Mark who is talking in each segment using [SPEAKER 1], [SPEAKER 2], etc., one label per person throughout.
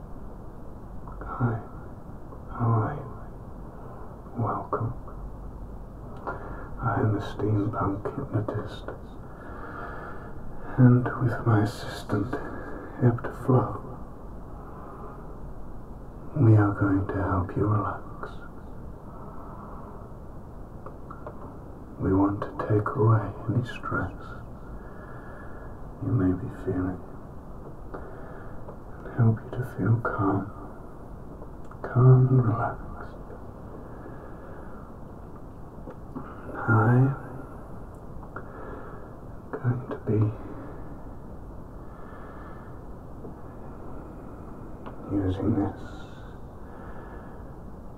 [SPEAKER 1] Hi, how Welcome. I am a steampunk hypnotist, and with my assistant, Ebda Flow, we are going to help you relax. We want to take away any stress you may be feeling and help you to feel calm, calm and relaxed. I am going to be using this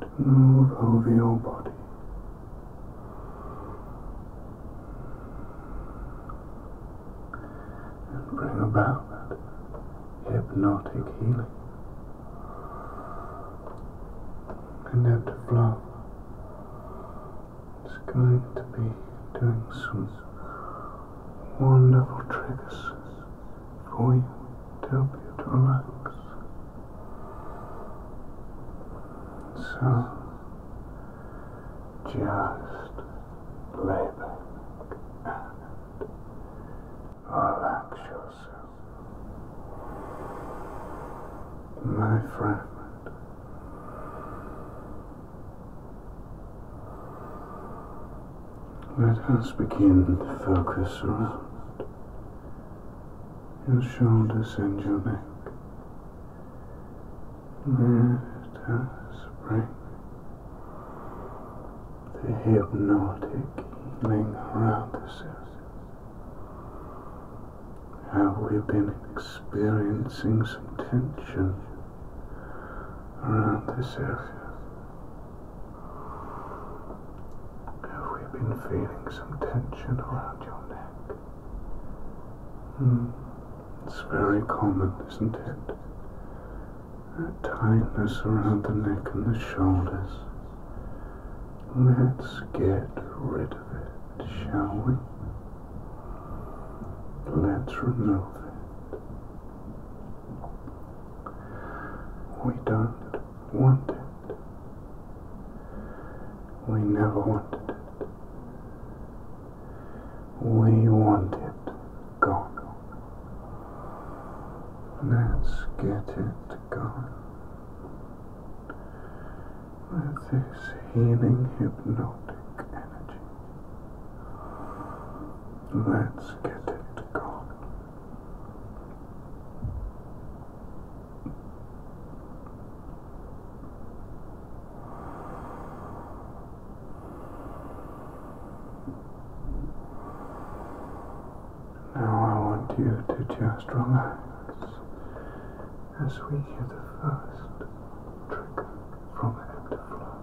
[SPEAKER 1] to move over your body. And bring about that hypnotic healing. Connect to flow. is going to be doing some wonderful tricks for you to help you to relax. So just let back relax yourself. My friend, Let us begin to focus around your shoulders and your neck. Let us bring the hypnotic healing around the surface. Have we been experiencing some tension around this area? Have we been feeling some tension around your neck? Hmm. It's very common, isn't it? That tightness around the neck and the shoulders. Let's get rid of it, shall we? Let's remove it. We don't wanted. We never wanted it. We want it gone. Let's get it gone. With this healing hypnotic energy. Let's get it gone. Now I want you to just relax as we do the first trigger from the empty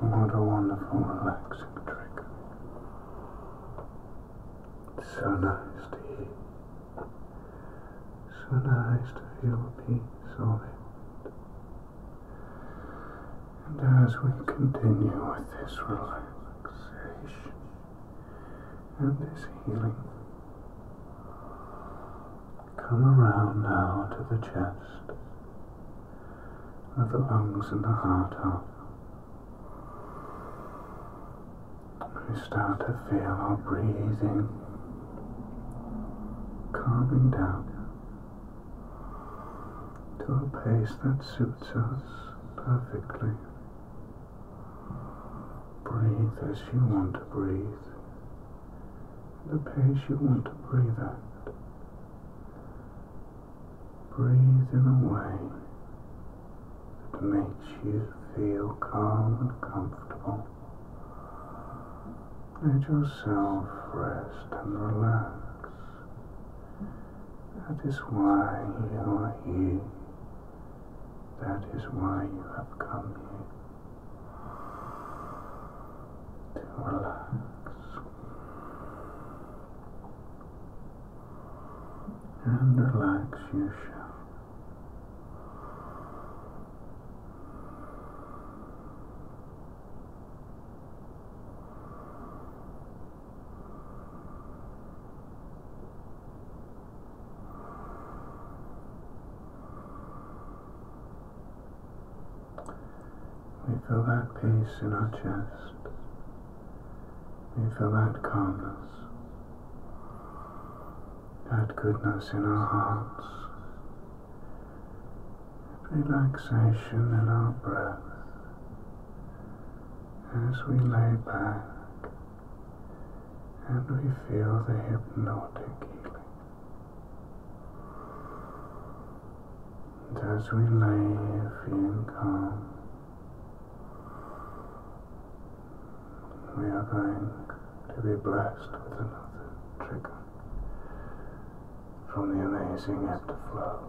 [SPEAKER 1] What a wonderful, relaxing trick. It's so nice to hear. So nice to feel the peace of it. And as we continue with this relaxation and this healing, come around now to the chest, where the lungs and the heart are. We start to feel our breathing calming down to a pace that suits us perfectly. Breathe as you want to breathe, the pace you want to breathe at. Breathe in a way that makes you feel calm and comfortable. Let yourself rest and relax. That is why you are here. That is why you have come here. To relax. And relax you shall. We feel that peace in our chest. We feel that calmness, that goodness in our hearts, relaxation in our breath, as we lay back and we feel the hypnotic healing. And as we lay feeling calm, we are going to be blessed with another trigger from the amazing afterflow.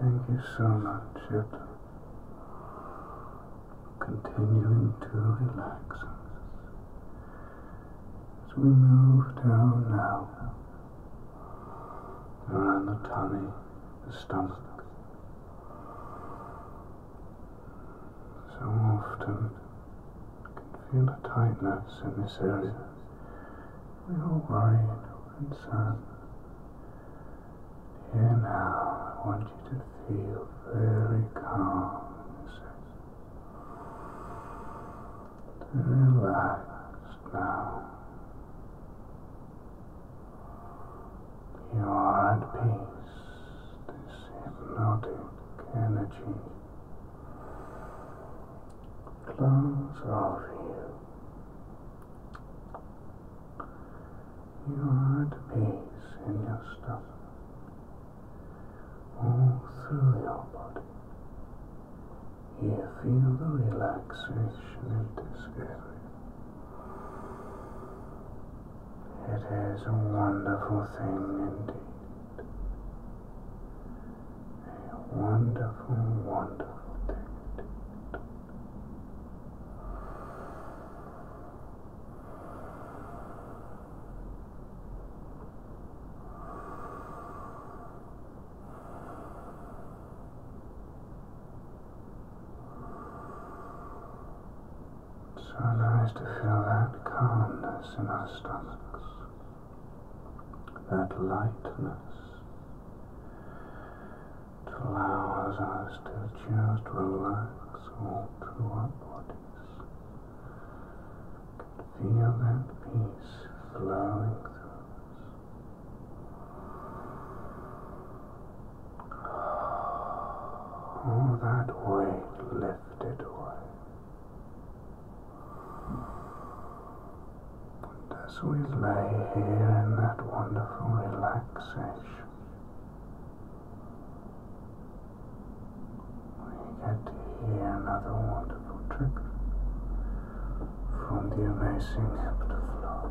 [SPEAKER 1] Thank you so much, It continuing to relax us as we move down now around the tummy, the stomach, so often I can feel a tightness in this area. We are worried and sad. Here now, I want you to feel very calm in this Relaxed now. You are at peace this hypnotic energy flows over you. You are at peace in your stuff. all through your body. You feel the relaxation and discovery. It is a wonderful thing indeed. A wonderful, wonderful thing so nice to feel that calmness in our stomachs, that lightness. It allows us to just relax all through our bodies. Feel that peace flowing through us. All that weight lifted drifted away. And as we lay here in that wonderful relaxation, we get to hear another wonderful trick from the amazing heptaflow.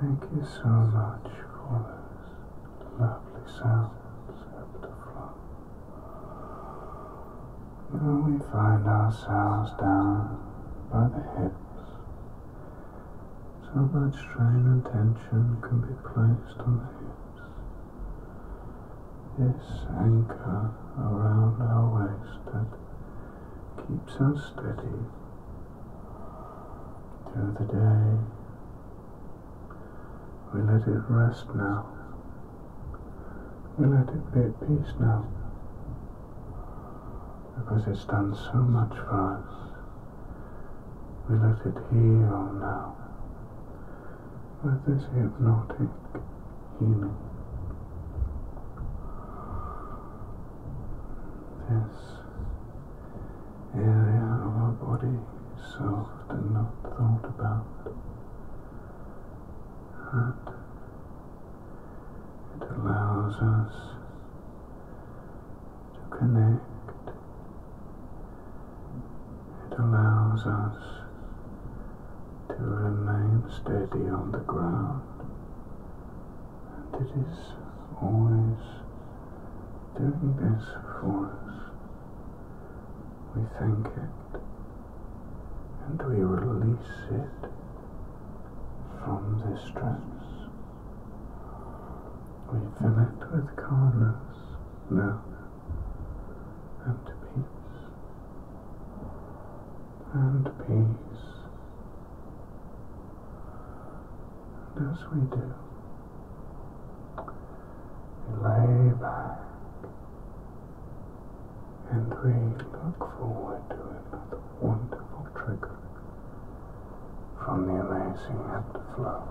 [SPEAKER 1] Thank you so much for those lovely sounds up the floor. Now we find ourselves down by the hips. So much strain and tension can be placed on the hips. This anchor around our waistband keeps us steady through the day. We let it rest now. We let it be at peace now. Because it's done so much for us. We let it heal now. With this hypnotic healing this area of our body is so often not thought about. That it allows us to connect, it allows us to remain steady on the ground and it is always doing this for us. We thank it and we release it from the stress. We fill it with calmness love, and peace and peace. And as we do, we lay back and we look forward to another wonderful trigger from the amazing ebb to flow.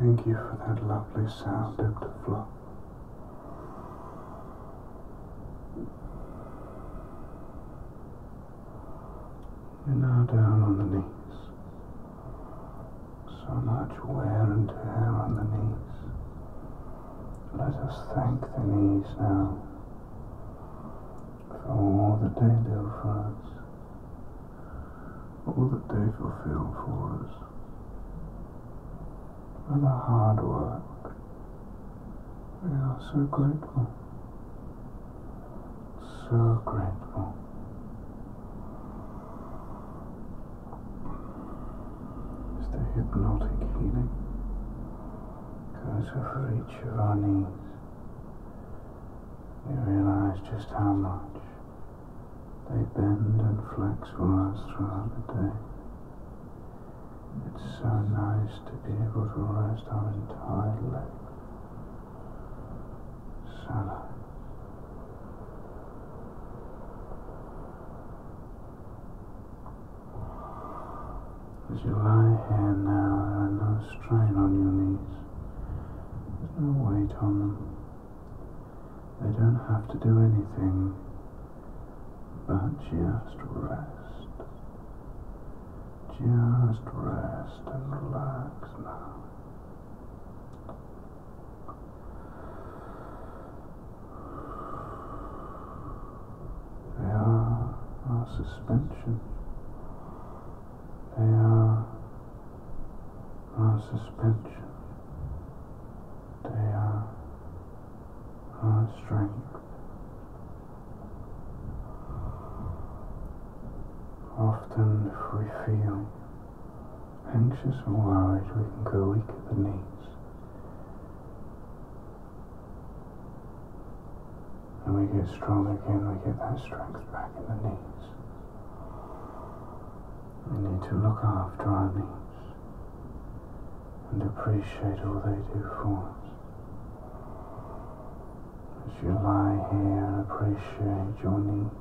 [SPEAKER 1] Thank you for that lovely sound of the flow. You're now down on the knees. So much wear and tear on the knees. Let us thank the knees now for all that they do for us all that they fulfill for us for their hard work. We are so grateful, so grateful. It's the hypnotic healing goes over each of our knees we realize just how much they bend and flex for us throughout the day. It's so nice to be able to rest our entire length. So As you lie here now, there are strain on your knees. There's no weight on them. They don't have to do anything but just rest. Just rest and relax now. They are our suspension they are our suspension. They are our strength. Often, if we feel anxious or worried, we can go weak at the knees and we get strong again, we get that strength back in the knees. We need to look after our knees and appreciate all they do for us. As you lie here and appreciate your knees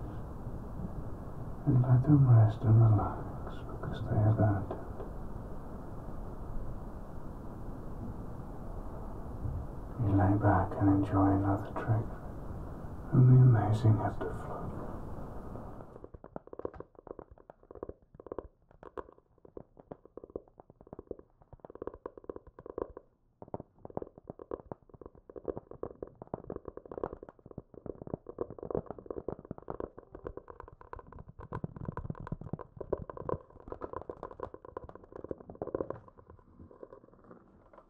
[SPEAKER 1] and let them rest and relax because they have earned it. You lay back and enjoy another trick and the amazing afterflow.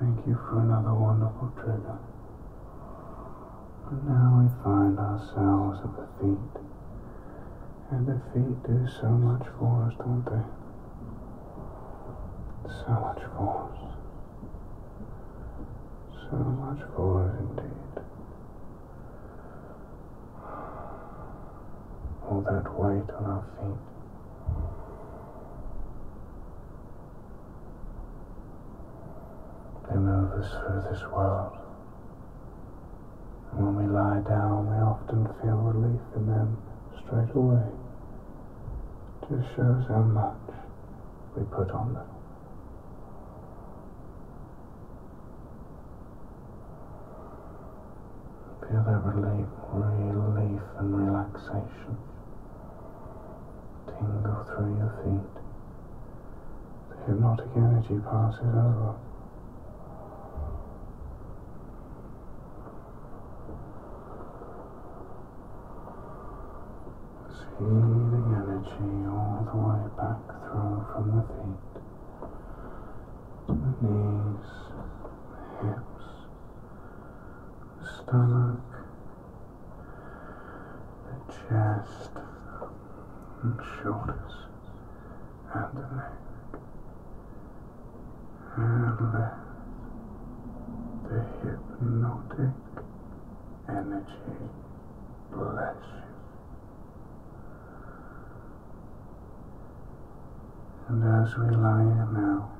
[SPEAKER 1] Thank you for another wonderful trigger. And now we find ourselves at the feet. And the feet do so much for us, don't they? So much for us. So much for us indeed. All that weight on our feet. They move us through this world. And when we lie down, we often feel relief in them straight away. It just shows how much we put on them. Feel that relief, relief and relaxation tingle through your feet. The hypnotic energy passes over. Feeding energy all the way back through from the feet to the knees, hips, stomach, the chest and shoulders and the neck and the hypnotic energy bless you. And as we lie here now,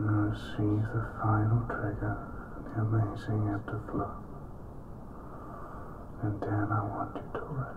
[SPEAKER 1] now see the final trigger the amazing ebb And then I want you to rest.